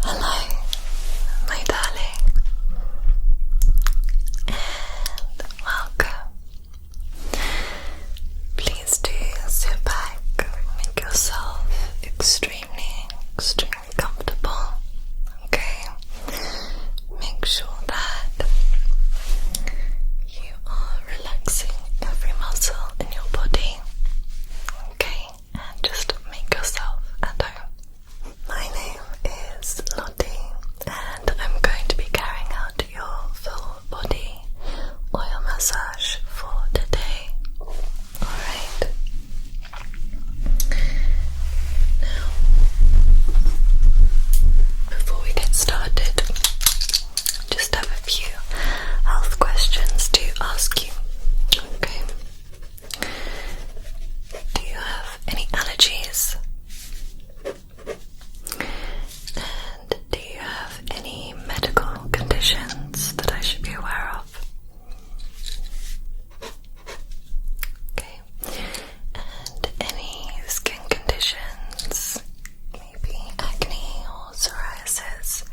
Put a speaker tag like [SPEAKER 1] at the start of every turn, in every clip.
[SPEAKER 1] Hello, my darling, and welcome. Please do sit back, make yourself extremely, extremely comfortable. Okay, make sure that you are relaxing every muscle in your body. Okay, and just make yourself at home. My name is Lottie, and I'm going to be carrying out your full body oil massage for today. Alright. Now, before we get started, just have a few health questions to ask you. Okay. Do you have any allergies? And do you have any medical conditions that I should be aware of? Okay, and any skin conditions, maybe acne or psoriasis.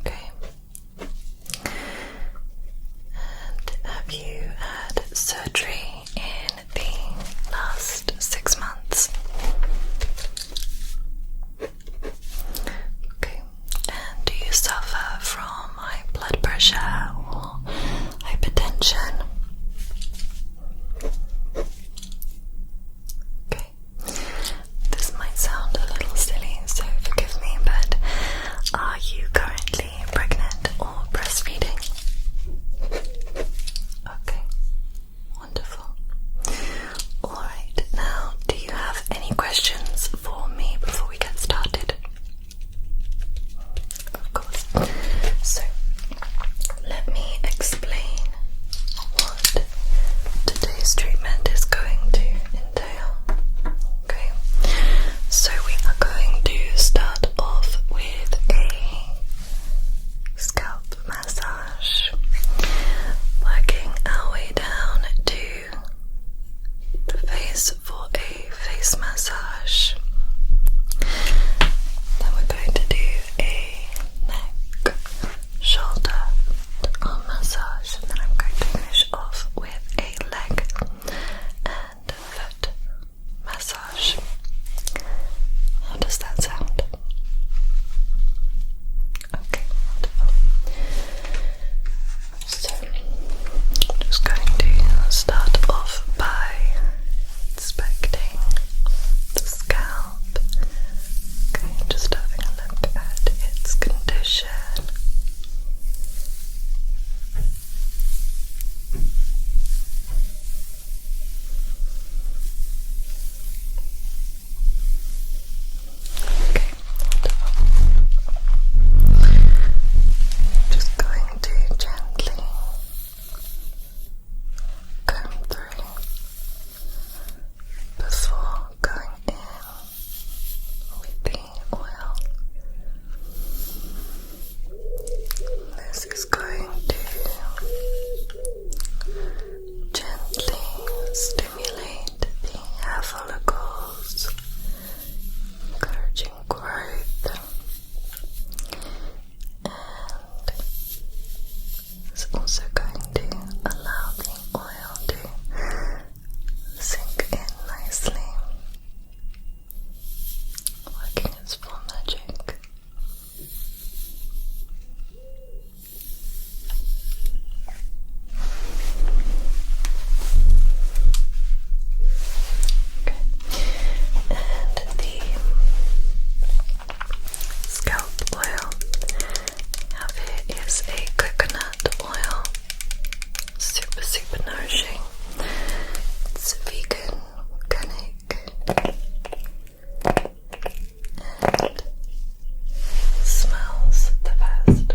[SPEAKER 1] Okay. And have you had surgery in the last six months? Okay. And do you suffer from my blood pressure or hypertension. Okay, this might sound a little silly, so forgive me, but are you currently pregnant or breastfeeding? Okay, wonderful. Alright, now do you have any questions for me before we get started? Of course. So, let me explain what today's treatment is going to entail. Okay, so we are going to start off with a scalp massage, working our way down to the face for face massage. Then we're going to do a neck, shoulder, arm massage, and then I'm going to finish off with a leg and foot massage. How does that sound? Okay, so, just going to start off by inspecting the scalp. Okay, just having a look at its condition. Okay, just going gently comb through before going in with the oil. This is going to gently stimulate the follicles encouraging growth, and it's also going to allow the oil to sink in nicely, working its full magic. Okay. And the scalp oil I have here is a coconut oil. Super, super nourishing. It's vegan, organic, and smells the best.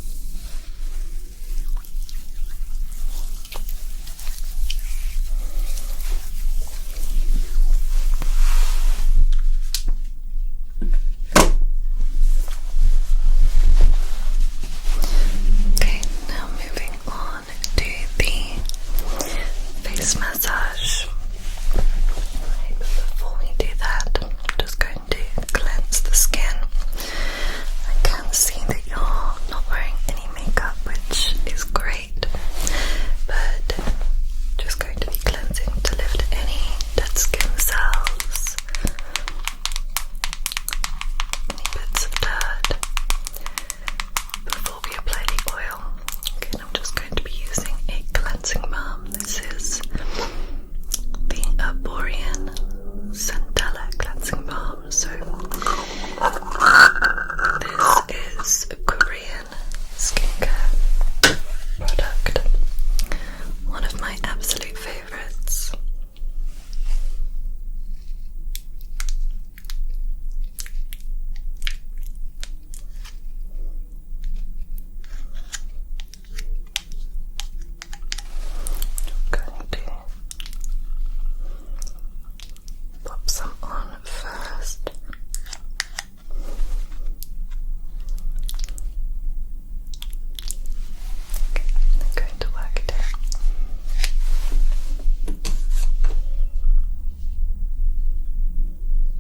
[SPEAKER 1] Okay, now moving on to the face massage. Right, before we do that, just going to cleanse the skin. I can see that you're not wearing any makeup, which is great, but just going to be cleansing to lift any dead skin cells, any bits of dirt before we apply the oil. Okay, I'm just going to be using a cleansing balm this is the Arborean Centella cleansing balm. So this is a Korean skincare product. One of my absolute favorites. I'm going to pop some on first. going to work it in.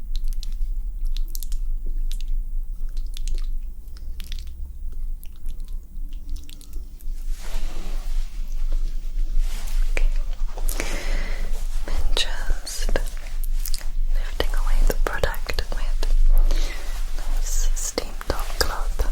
[SPEAKER 1] And just lifting away the product with nice steam top cloth.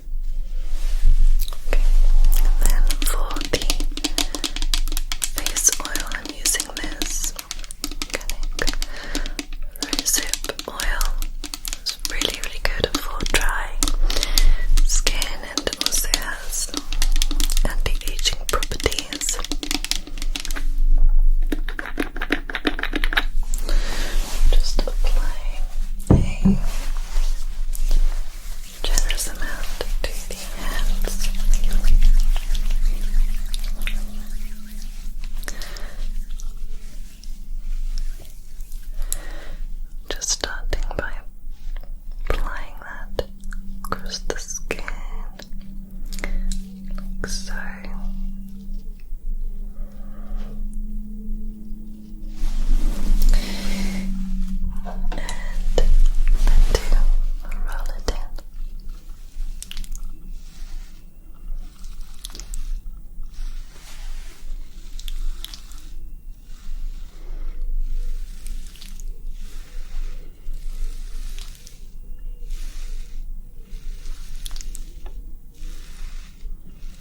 [SPEAKER 1] Okay, and then for the face oil, I'm using this rosehip oil. It's really, really good for dry skin and also has anti-aging properties. Just applying a generous amount to the hands. Just starting by applying that across the skin, so until roll it in.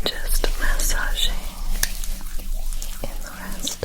[SPEAKER 1] And just massaging in the rest.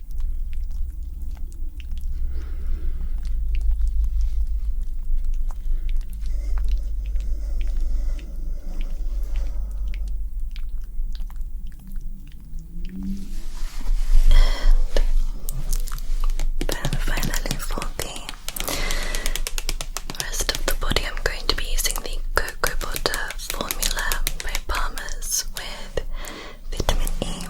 [SPEAKER 1] then finally for the rest of the body I'm going to be using the cocoa butter formula by Palmer's with vitamin E.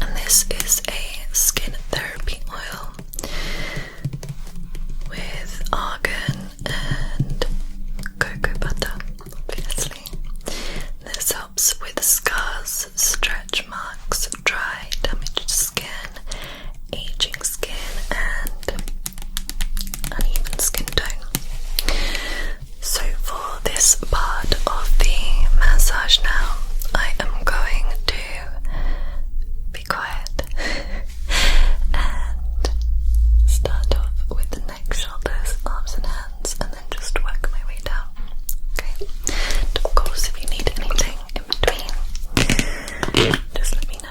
[SPEAKER 1] And this is a skin therapy oil with argan and cocoa butter, obviously. This helps with scars, stretch marks, dry, damaged skin, aging skin, and uneven skin tone. So, for this part of the massage now, I am going to be quiet and start off with the neck, shoulders, arms, and hands, and then just work my way down. Okay? of course, if you need anything in between, just let me know.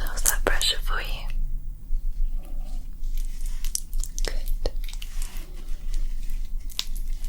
[SPEAKER 1] How's that pressure for you? Good.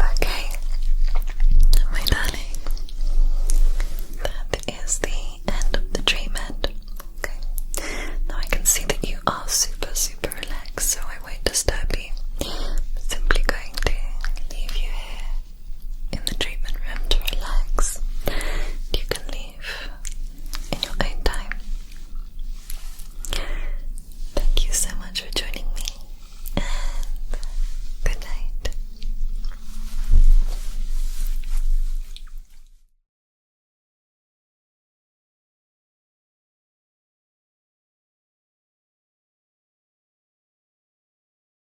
[SPEAKER 1] Okay, my darling, that is the end of the treatment. Okay, now I can see that you are super, super relaxed, so I won't disturb you. simply going to leave you here in the treatment room to relax. You can leave in your own time. Thank you so much for joining me, and good night.